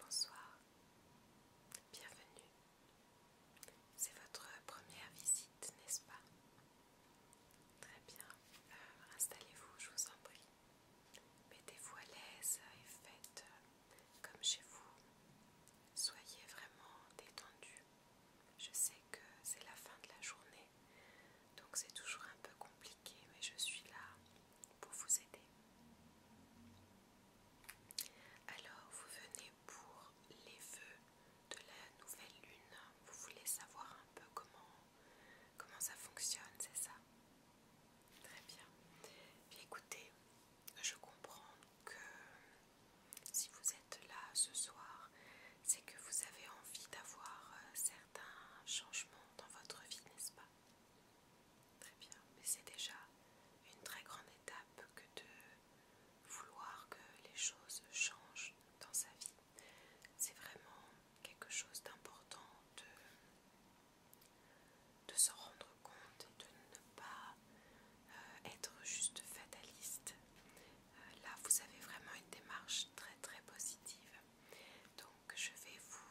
Bonsoir, bienvenue. C'est votre première visite, n'est-ce pas Très bien, euh, installez-vous, je vous en prie. Mettez-vous à l'aise et faites euh, comme chez vous. Soyez vraiment détendu. Je sais que c'est la fin de la journée, donc c'est toujours un peu compliqué, mais je suis là pour vous aider. Alors, vous venez pour les vœux de la nouvelle lune. Vous voulez savoir un peu comment, comment ça fonctionne, c'est ça Très bien. écoutez, je comprends que si vous êtes là ce soir, c'est que vous avez envie d'avoir euh, certains changements dans votre vie, n'est-ce pas Très bien, mais c'est déjà une très grande étape que de vouloir que les choses changent dans sa vie. C'est vraiment quelque chose d'important de, s'en rendre compte et de ne pas euh, être juste fataliste. Euh, là, vous avez vraiment une démarche très très positive. Donc, je vais vous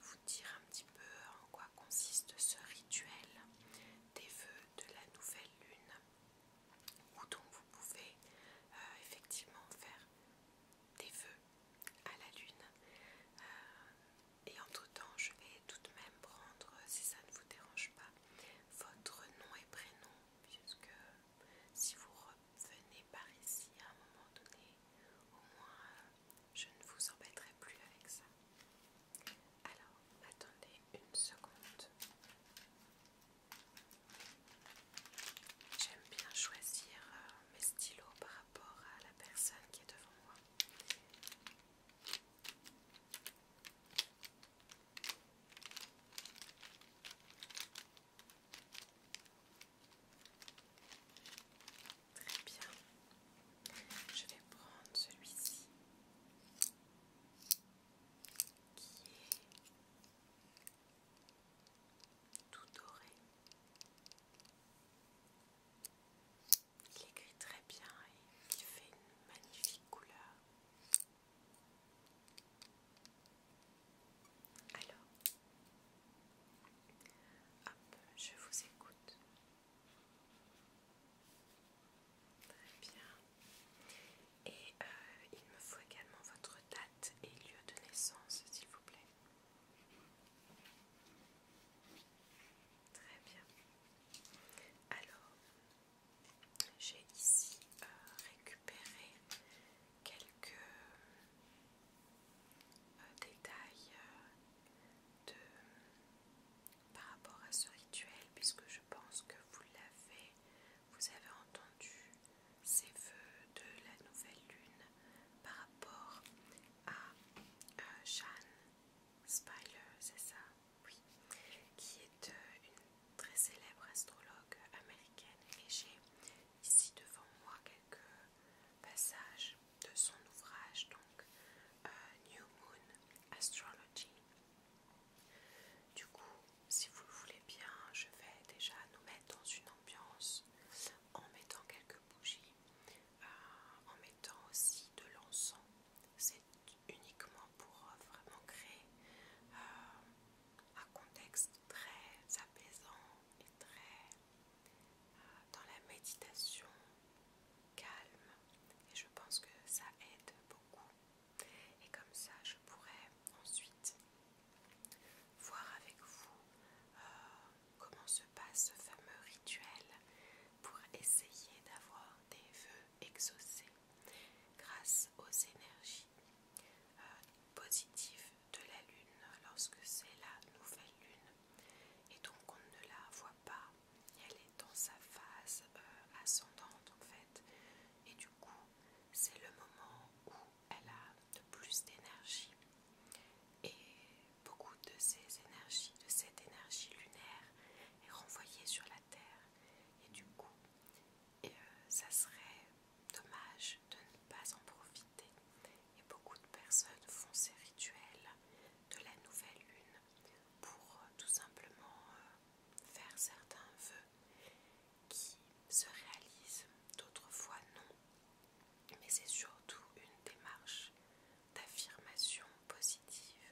vous dire un petit peu en quoi consiste ce rituel des vœux de la nouvelle lune où donc vous pouvez euh, effectivement faire des vœux à la lune euh, et entre temps je vais tout de même prendre si ça ne vous dérange pas votre nom et prénom puisque si vous venez par ici à un moment donné, au moins je ne vous embêterai plus avec ça. Alors, attendez une seconde. J'aime bien choisir euh, mes stylos par rapport à la personne qui est devant moi. Très bien. Je vais prendre celui-ci qui est tout doré. Il écrit très bien et il fait une magnifique couleur. Alors, Hop, je vous écoute. Très bien. Et euh, il me faut également votre date et lieu de naissance, s'il vous plaît. Très bien. Alors, j'ai ici euh, récupéré quelques euh, détails euh, de, par rapport à ce rituel, puisque je pense que vous l'avez, vous avez entendu ces feux de la nouvelle lune par rapport à Jeanne euh, Spiler, c'est ça Oui, qui est une très célèbre astrologue américaine. Et j'ai ici devant moi quelques passage de son ouvrage donc euh, New Moon Astrology. Du coup, si vous le voulez bien, je vais déjà nous mettre dans une ambiance en mettant quelques bougies, euh, en mettant aussi de l'encens. C'est uniquement pour euh, vraiment créer un contexte très apaisant et très euh, dans la méditation calme et je pense que ça aide beaucoup et comme ça je pourrais ensuite voir avec vous euh, comment se passe ce fameux rituel pour essayer d'avoir des vœux exaucés grâce aux énergies euh, positives de la lune lorsque c'est la nouvelle lune et donc on ne la voit pas, elle est dans sa phase euh, ascendante en fait et du coup c'est le moment où elle a de plus d'énergie et beaucoup de ces énergies, de cette énergie lunaire est renvoyée sur la terre et du coup euh, ça serait Dommage de ne pas en profiter et beaucoup de personnes font ces rituels de la nouvelle lune pour euh, tout simplement euh, faire certains vœux qui se réalisent, d'autres fois non. Mais c'est surtout une démarche d'affirmation positive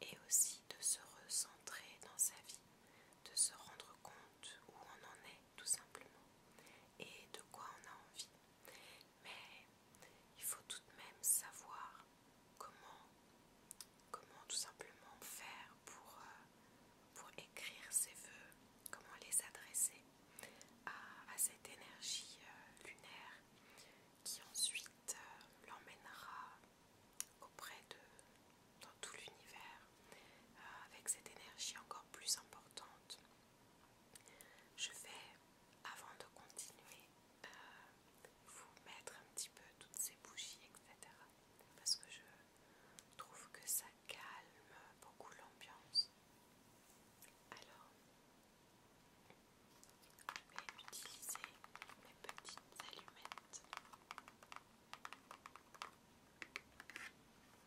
et aussi de se recentrer dans sa vie, de se rendre compte où on en est tout simplement, et de quoi on a envie. Mais il faut tout de même savoir comment, comment tout simplement faire pour, euh, écrire ses voeux, comment les adresser à, cette énergie euh, lunaire qui ensuite euh, l'emmènera auprès de dans tout l'univers avec cette énergie encore plus importante je vais, avant de continuer, euh, vous mettre un petit peu toutes ces bougies, etc. Parce que je trouve que ça calme beaucoup l'ambiance. Alors, je vais utiliser mes petites allumettes.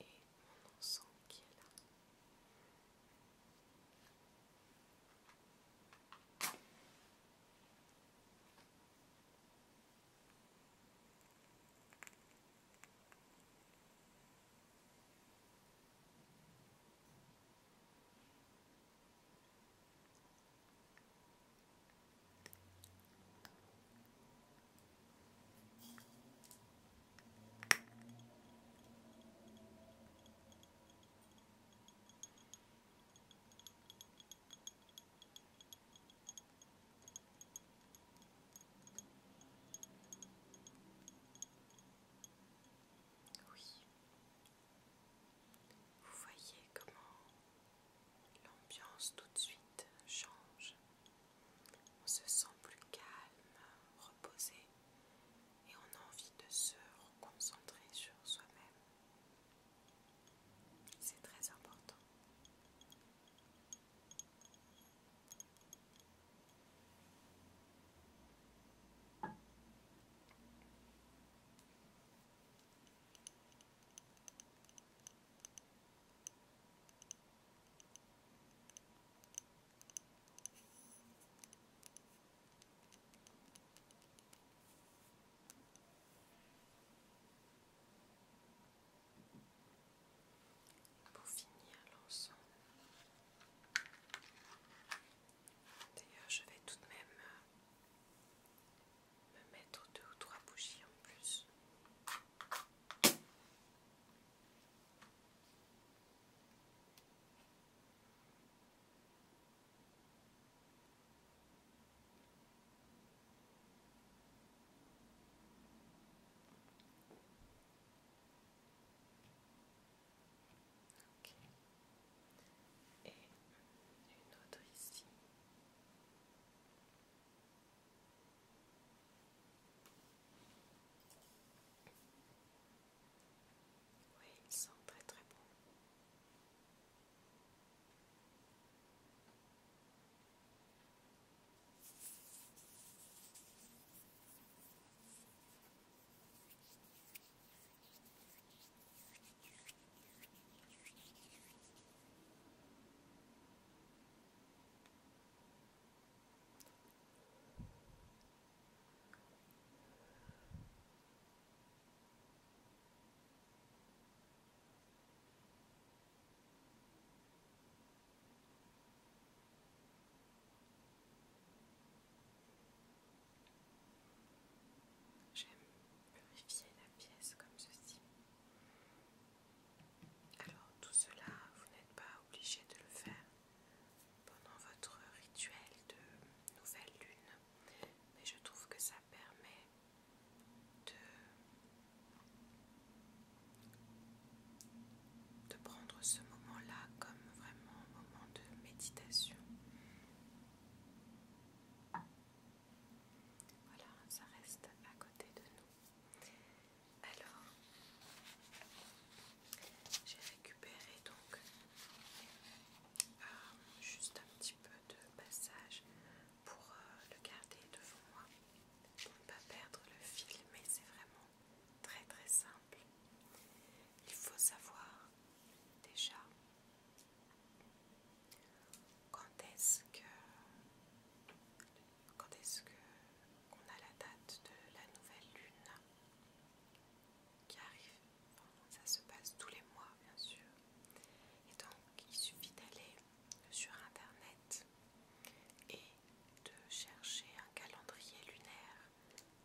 et mon sang qui est là. Oui, vous voyez comment L'ambiance tout de suite change. On se sent plus calme, reposé et on a envie de se reconcentrer sur soi-même. C'est très important. Pour finir l'ensemble, d'ailleurs je vais tout de même euh, me mettre deux ou trois bougies en plus. Et une autre ici. Oui, ils sont très très bon. J'aime purifier la pièce comme ceci. Alors tout cela, vous n'êtes pas obligé de le faire pendant votre rituel de nouvelle lune, mais je trouve que ça permet de, prendre ce moment-là comme vraiment un moment de méditation. Voilà, ça reste à côté de nous. Alors, j'ai récupéré donc euh, juste un petit peu de passage pour euh, le garder devant moi, pour ne pas perdre le fil, mais c'est vraiment très très simple. Il faut savoir déjà quand est-ce que quand est-ce qu'on a la date de la nouvelle lune qui arrive ça se passe tous les mois bien sûr et donc il suffit d'aller sur internet et de chercher un calendrier lunaire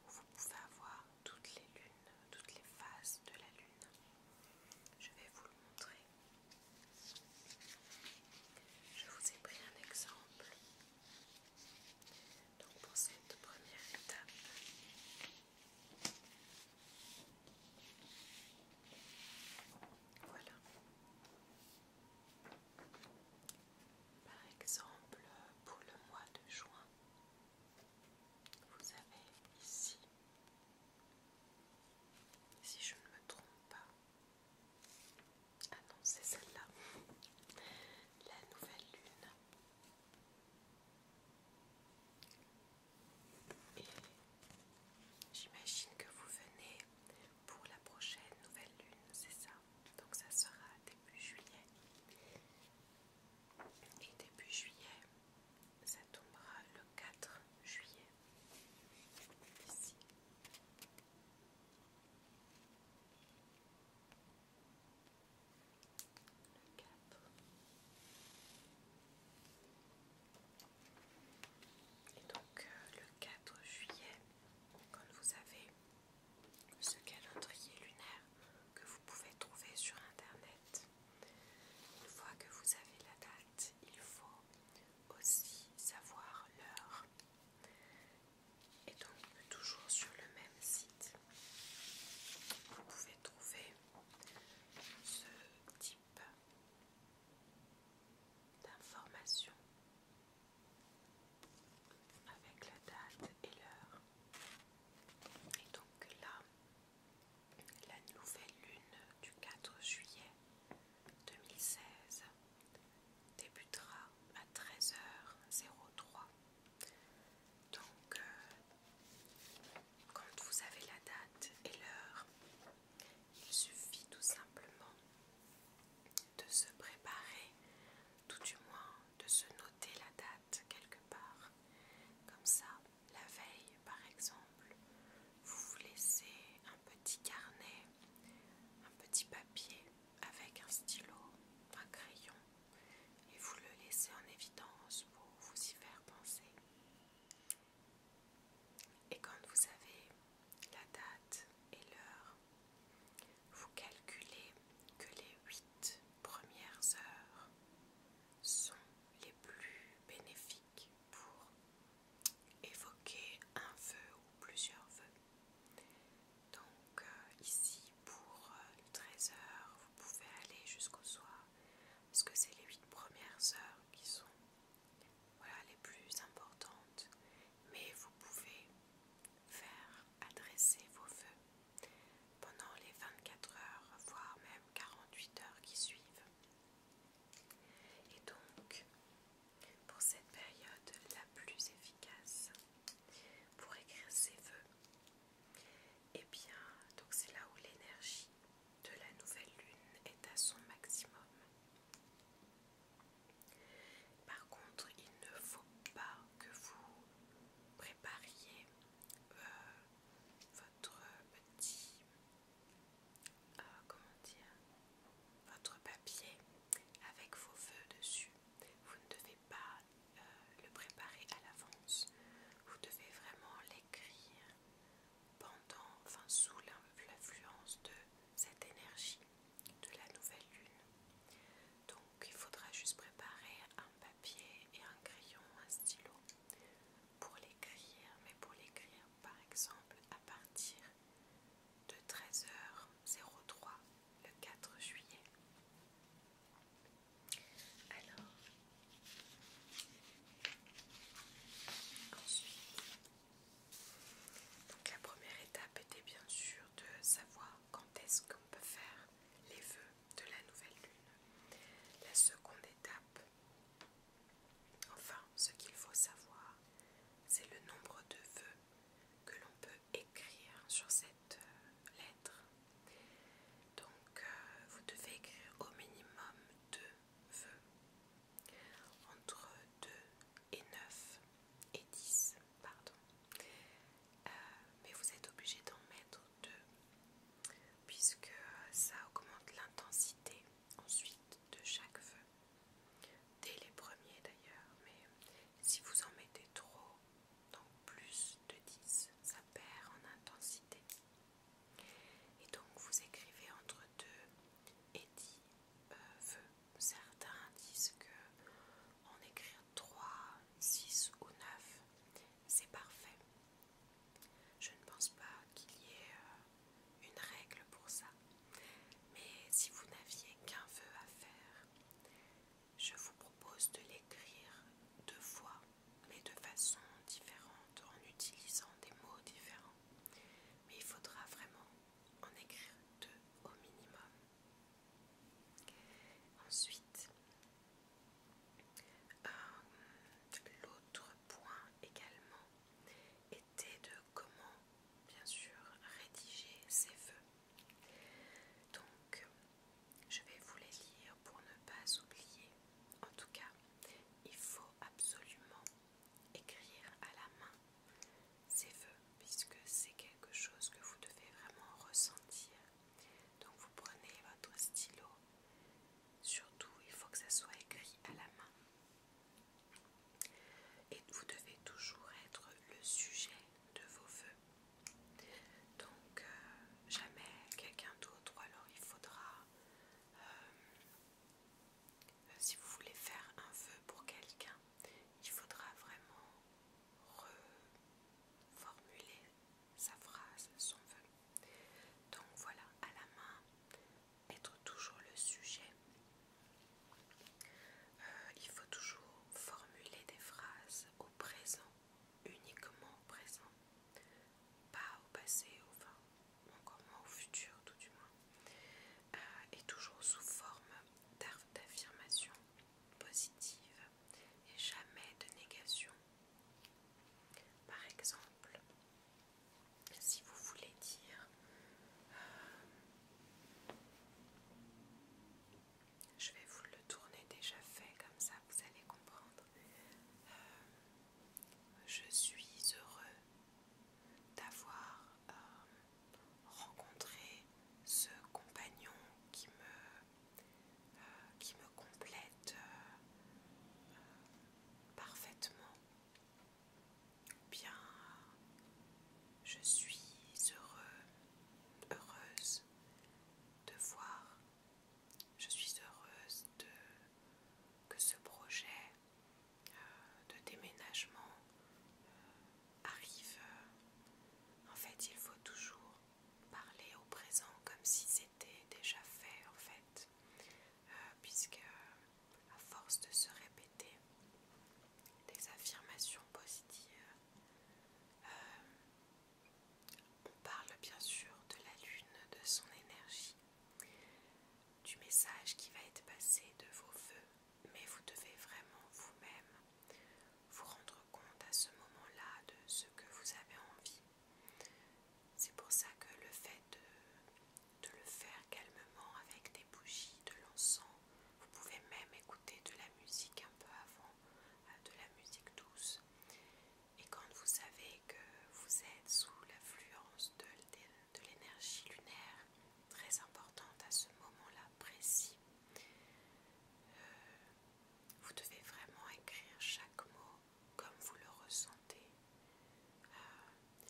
où vous pouvez avoir toutes les lunes toutes les phases de la lune je vais vous le montrer je vous ai pris un exemple. Donc pour cette première étape, voilà. Par exemple, pour le mois de juin, vous avez ici si je ne me trompe pas. Ah non, c'est celle-là. La nouvelle lune. Et j'imagine que vous venez pour la prochaine nouvelle lune, c'est ça. Donc ça sera début juillet. Et début juillet, ça tombera le 4 juillet. Ici. Le 4. Et donc euh, le 4 juillet, quand vous avez ce calendrier lunaire que vous pouvez trouver sur internet, une fois que vous avez la date, il faut aussi savoir l'heure. Et donc toujours sur le même site, vous pouvez trouver ce type d'informations avec la date et l'heure. Et donc là, la nouvelle lune du 4 juillet 2016 débutera à 13h03. Donc, euh, quand vous avez la date et l'heure, il suffit tout simplement de se préparer, tout du moins de se noter la date quelque part. Comme ça, la veille, par exemple, vous vous laissez un petit carnet, un petit papier avec un stylo, un crayon, et vous le laissez en évidence pour vous y faire penser. Et quand vous avez la date et l'heure, vous calculez que les 8 premières heures sont les plus bénéfiques pour évoquer un feu ou plusieurs feux. Donc euh, ici pour 13 heures, vous pouvez aller jusqu'au soir parce que c'est les 8 premières heures qui sont les plus importantes. Mais vous pouvez faire adresser vos feux pendant les 24 heures, voire même 48 heures qui suivent. Et donc, pour cette période la plus efficace pour écrire ses vœux, et eh bien, donc c'est là où l'énergie de la nouvelle lune est à son maximum. Par contre, il ne faut pas que vous prépariez euh, votre petit euh, comment dire, votre papier avec vos feux dessus. Vous ne devez pas euh, le préparer à l'avance. Vous devez vraiment l'écrire pendant, enfin sous l'influence de cette énergie de la nouvelle lune. Donc il faudra juste préparer un papier et un crayon, un stylo pour l'écrire, mais pour l'écrire par exemple à partir de 13h03 le 4 juillet. Alors, ensuite, la première étape était bien sûr de savoir quand est-ce qu'on peut faire les vœux de la nouvelle lune. La seconde étape Enfin, ce qu'il faut savoir, c'est le nombre de vœux que l'on peut écrire sur cette euh, lettre. Donc, euh, vous devez écrire au minimum deux vœux, entre deux et neuf, et dix, pardon. Euh, mais vous êtes obligé d'en mettre deux, puisque ça augmente l'intensité ensuite de chaque feu. Dès les premiers d'ailleurs, mais si vous en mettez trop, donc plus de 10, ça perd en intensité. Et donc vous écrivez entre 2 et 10 feux. Euh, Certains disent que en écrire 3, 6 ou 9, c'est parfait. Je ne pense pas qu'il y ait euh, une règle pour ça. Mais si vous n'aviez qu'un vœu à faire, je vous propose de l'écrire deux fois, mais de façon différente, en utilisant des mots différents. Mais il faudra vraiment en écrire deux au minimum. Ensuite, euh, l'autre point également était de comment, bien sûr, rédiger ses feux. Donc, je vais vous les lire pour ne pas oublier. En tout cas, il faut absolument écrire à la main ces feux puisque c'est quelque chose que vous devez vraiment ressentir. Donc, vous prenez votre stylo Surtout, il faut que ça soit écrit à la main. Et vous devez toujours être le sujet de vos vœux. Donc, euh, jamais quelqu'un d'autre, alors il faudra, euh, si vous voulez faire un vœu pour quelqu'un, il faudra vraiment reformuler sa phrase, son vœu. Donc voilà, à la main, être toujours le sujet. Euh, il faut toujours formuler des phrases au présent, uniquement au présent, pas au passé, au, vin, encore moins au futur tout du moins, euh, et toujours sous forme d'affirmation positive et jamais de négation par exemple, si vous voulez dire euh, je vais vous le tourner déjà fait comme ça, vous allez comprendre. Euh, je suis heureux d'avoir euh, rencontré ce compagnon qui me, qui me complète parfaitement. Bien, je suis heureux, heureuse de voir, je suis heureuse de, que ce projet euh, de déménagement euh, arrive. En fait, il faut toujours parler au présent comme si c'était déjà fait en fait, euh, puisque à force de se répéter des affirmations positives, euh, on parle bien sûr de la lune, de son énergie, du message qui va être passé, de vos voeux, mais vous devez vraiment vous-même vous rendre compte à ce moment-là de ce que vous avez envie c'est pour ça que le fait de, le faire calmement avec des bougies, de l'encens, vous pouvez même écouter de la musique un peu avant, euh, de la musique douce. Et quand vous savez que vous êtes sous l'affluence de, l'énergie lunaire, très importante à ce moment-là précis, euh, vous devez vraiment écrire chaque mot comme vous le ressentez. Euh,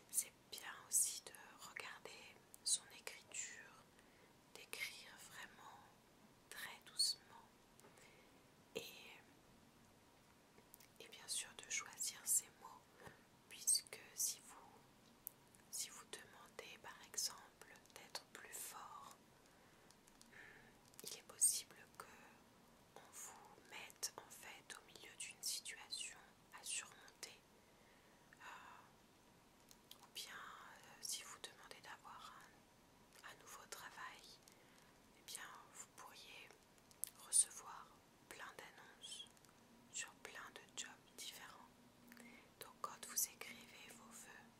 c'est bien aussi de regarder son écriture, d'écrire vraiment très doucement et, et bien sûr de choisir ses mots puisque si vous, si vous demandez par exemple d'être plus fort, hmm, il est possible que on vous mette en fait au milieu d'une situation à surmonter. Euh, ou bien euh, si vous demandez d'avoir un, nouveau travail, et eh bien vous pourriez recevoir plein d'annonces sur plein de jobs différents. Donc quand vous écrivez vos vœux,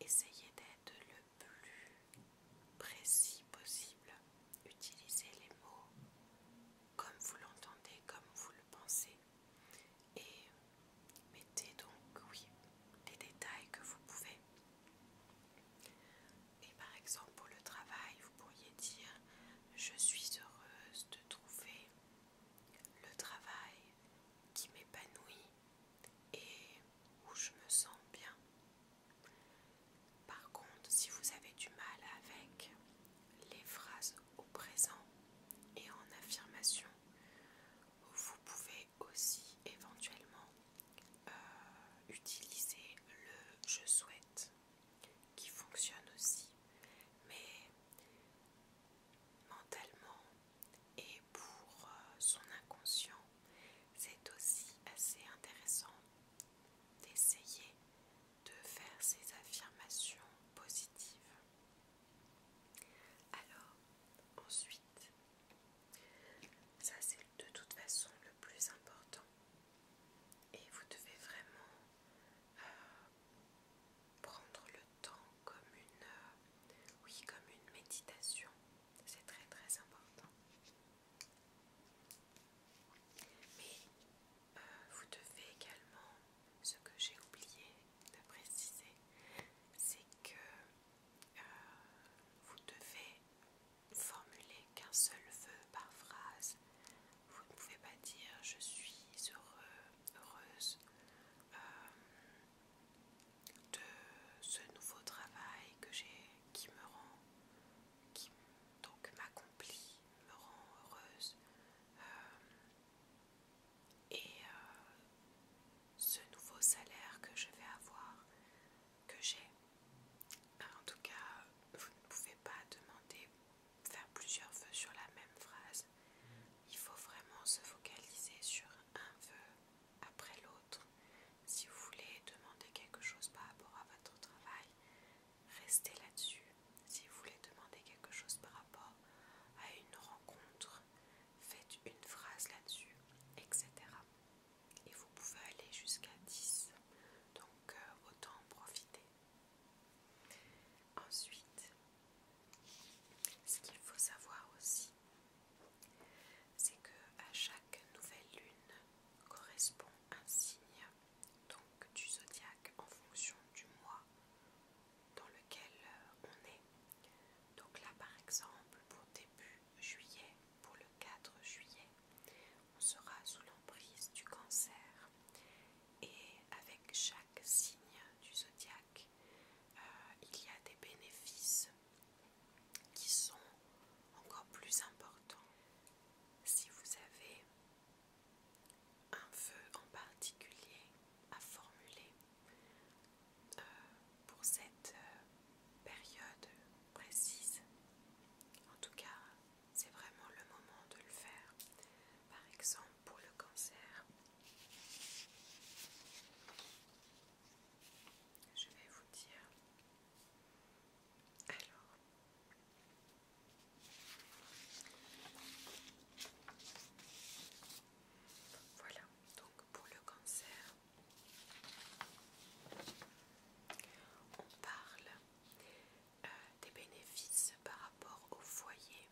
essayez d'être le plus précis possible. Utilisez les mots comme vous l'entendez, comme vous le pensez. Et mettez donc, oui, les détails que vous pouvez. Et par exemple, pour le travail, vous pourriez dire Je suis heureuse de trouver le travail qui m'épanouit et où je me sens bien. Par contre, si vous avez du mal avec les phrases au présent et en affirmation, vous pouvez aussi éventuellement euh, utiliser le je souhaite qui fonctionne aussi, mais mentalement et pour euh, son inconscient, c'est aussi assez intéressant d'essayer de faire ces affirmations positives. Alors, ensuite, ça c'est de toute façon le plus important. Et vous devez vraiment euh, prendre le temps comme une, euh, oui, comme une méditation. C'est très très important. Mais euh, vous devez également, ce que j'ai oublié de préciser, c'est que euh, vous devez formuler qu'un seul vœu par phrase. Vous ne pouvez pas dire je suis heureux, heureuse, euh, de ce nouveau travail que j'ai qui me rend qui donc m'accomplit, me rend heureuse euh, et euh, ce nouveau salaire que je vais avoir, que j'ai. Ben, en tout cas, vous ne pouvez pas demander, faire plusieurs vœux sur la même phrase. Il faut vraiment se focaliser sur un vœu après l'autre. Si vous voulez demander quelque chose par rapport à votre travail, restez là-dessus. Si vous voulez demander quelque chose par rapport à une rencontre, faites une phrase là-dessus, etc. Et vous pouvez aller jusqu'à 10. Donc euh, autant en profiter. Ensuite, ce qu'il faut savoir aussi, c'est que à chaque nouvelle lune correspond un signe donc du zodiaque en fonction du mois dans lequel on est. Donc là par exemple pour début juillet, pour le 4 juillet, on sera sous l'emprise du cancer et avec chaque signe du zodiaque, euh, il y a des bénéfices qui sont encore plus importants. Si vous avez un feu en particulier à formuler euh, pour cette euh, période précise, en tout cas c'est vraiment le moment de le faire. Par exemple pour le cancer, je vais vous dire alors, voilà, donc pour le cancer, on parle euh, des bénéfices par rapport au foyer,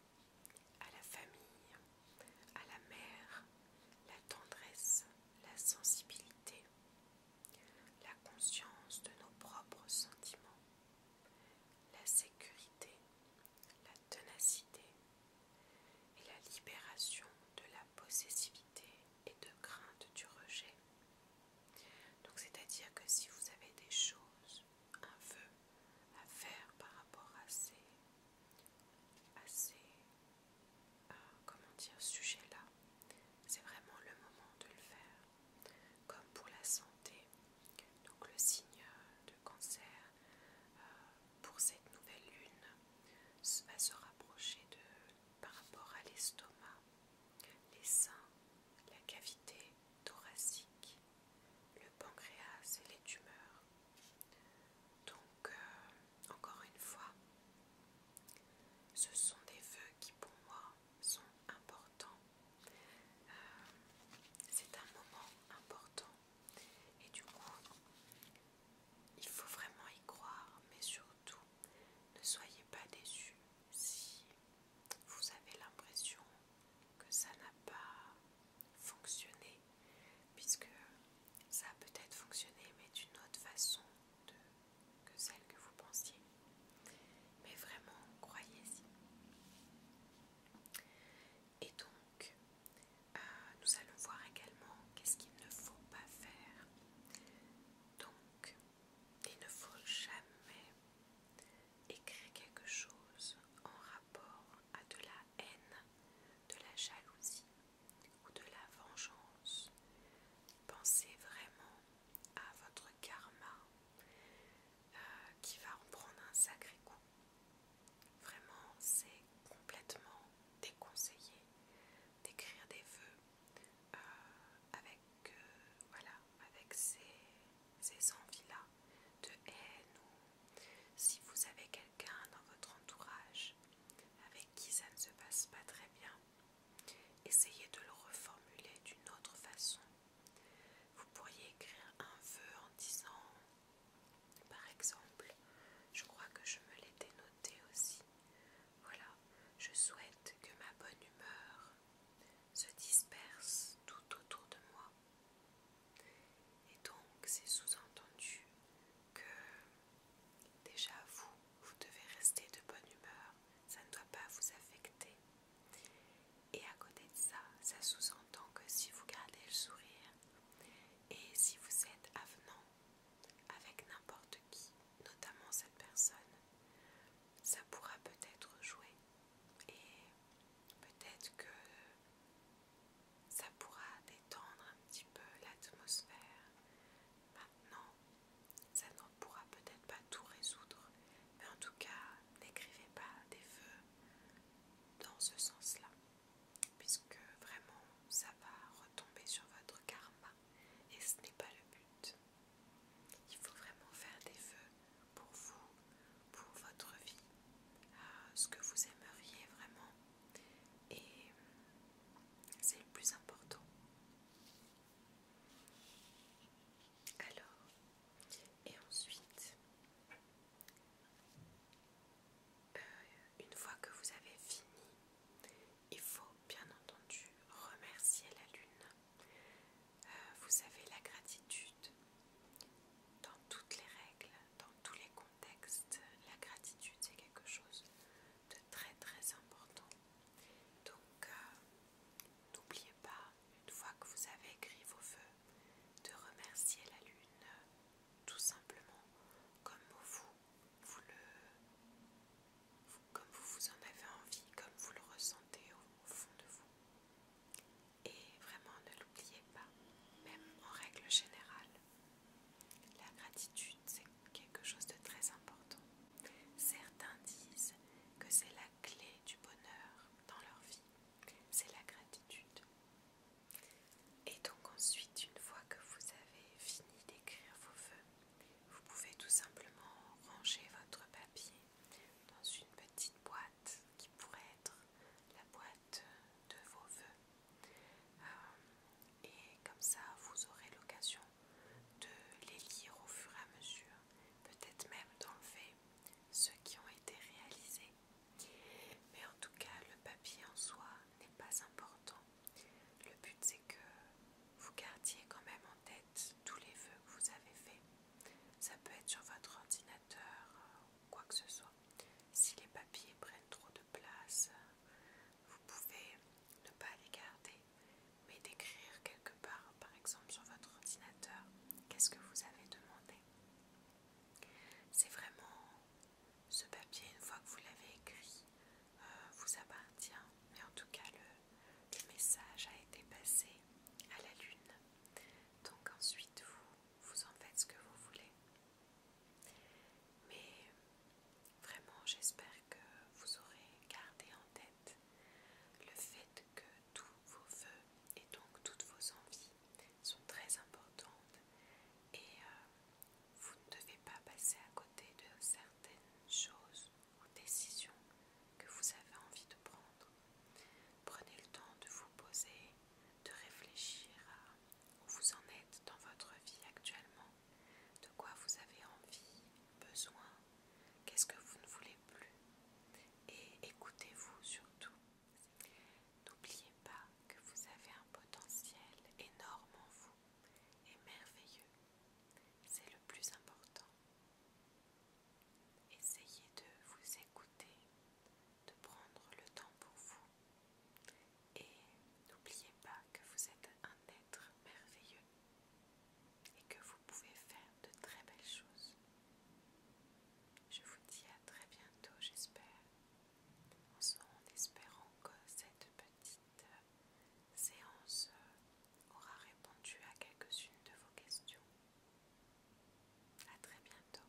à la famille, à la mère, la tendresse, la sensibilité, la conscience de nos propres sentiments, la sécurité, la tenacité et la libération de la possessivité et de crainte du rejet. Donc c'est-à-dire que si vous avez des choses, un vœu à faire par rapport à ces, à ces ah, comment dire, sujet-là, c'est vraiment le moment de le faire. Comme pour la santé, donc le signe de cancer euh, pour cette nouvelle lune va se rapprocher de par rapport à l'estomac, les seins, la cavité thoracique, le pancréas et les tumeurs. Donc euh, encore une fois, ce sont des vœux qui pour moi sont importants. Euh, c'est un moment important et du coup, il faut vraiment y croire, mais surtout, ne soyez pas déçus si vous avez l'impression que ça n'a pas fonctionné, puisque ça a peut-être fonctionné, mais d'une autre façon, que celle que vous pensiez. Mais vraiment, croyez-y. Et donc, euh, nous allons voir également qu'est-ce qu'il ne faut pas faire. Donc, il ne faut jamais écrire quelque chose en rapport à de la haine, de la jalousie ou de la vengeance. Pensez vraiment à votre karma euh, qui va en prendre un sacré coup. Vraiment, c'est complètement déconseillé d'écrire des vœux euh, avec, euh, voilà, avec ces, envies-là de haine ou si vous avez dans votre entourage avec qui ça ne se passe pas très bien, essayez de le reformuler d'une autre façon. Vous pourriez écrire un vœu en disant, par exemple, je crois que je me l'ai dénoté aussi. Voilà, je souhaite que ma bonne humeur se disperse tout autour de moi. Et donc, c'est sous-entendu que déjà vous, vous devez rester de bonne humeur, ça ne doit pas vous affecter. Et à côté de ça, ça sous-entend que si vous gardez le sourire et si vous êtes avenant avec n'importe qui, notamment cette personne, ça pourra peut-être jouer et peut-être que ça pourra détendre un petit peu l'atmosphère. Maintenant, ça ne pourra peut-être pas tout résoudre, mais en tout cas, n'écrivez pas des feux dans ce sens-là, puisque vraiment, ça va retomber sur votre karma, et ce n'est pas le but. Il faut vraiment faire des feux pour vous, pour votre vie, euh, ce que vous aimeriez vraiment et c'est le plus important. Alors, et ensuite, euh, une fois que vous avez fini, il faut bien entendu remercier la lune. Euh, vous avez la gratitude dans toutes les règles, dans tous les contextes. La gratitude, c'est quelque chose de très très important. Donc euh, n'oubliez pas, une fois que vous avez écrit vos voeux de remercier la lune tout simplement comme vous, vous le, comme vous, vous en avez envie, comme vous le ressentez au fond de vous. Et vraiment ne l'oubliez pas, même en règle générale, la gratitude, c'est quelque chose de très important. Certains disent que c'est la clé du bonheur dans leur vie. C'est la gratitude. Et donc ensuite, une fois que vous avez fini d'écrire vos vœux, vous pouvez tout simplement ranger votre papier dans une petite boîte qui pourrait être la boîte de vos vœux. Euh, et comme ça vous aurez l'occasion de les lire au fur et à mesure, peut-être même d'enlever ceux qui ont été réalisés. Mais en tout cas, le papier en soi n'est pas important. Le but c'est que vous gardiez quand même en tête tous les vœux que vous avez faits. Ça peut être sur votre ordinateur, euh, ou quoi que ce soit. Si les papiers prennent trop de place, vous pouvez ne pas les garder, mais décrire quelque part, par exemple sur votre ordinateur, qu'est-ce que vous avez demandé. C'est vraiment ce papier, une fois que vous l'avez écrit, euh, vous appartient, mais en tout cas le, message a été passé à la lune. Donc ensuite vous en faites ce que vous voulez. Mais vraiment, j'espère que vous aurez gardé en tête le fait que tous vos voeux et donc toutes vos envies sont très importantes et euh, vous ne devez pas passer à côté de certaines choses ou décisions que vous avez envie de prendre. Prenez le temps de vous poser, de réfléchir à où vous en êtes dans votre vie actuellement, de quoi vous avez envie, besoin, qu'est-ce que vous ne voulez plus. Et écoutez-vous surtout. N'oubliez pas que vous avez un potentiel énorme en vous et merveilleux. C'est le plus important. Essayez de vous écouter, de prendre le temps pour vous et n'oubliez pas que vous êtes un être merveilleux et que vous pouvez faire de très belles choses. Je vous dis à très bientôt, j'espère, en espérant que cette petite euh, séance euh, aura répondu à quelques-unes de vos questions. À très bientôt.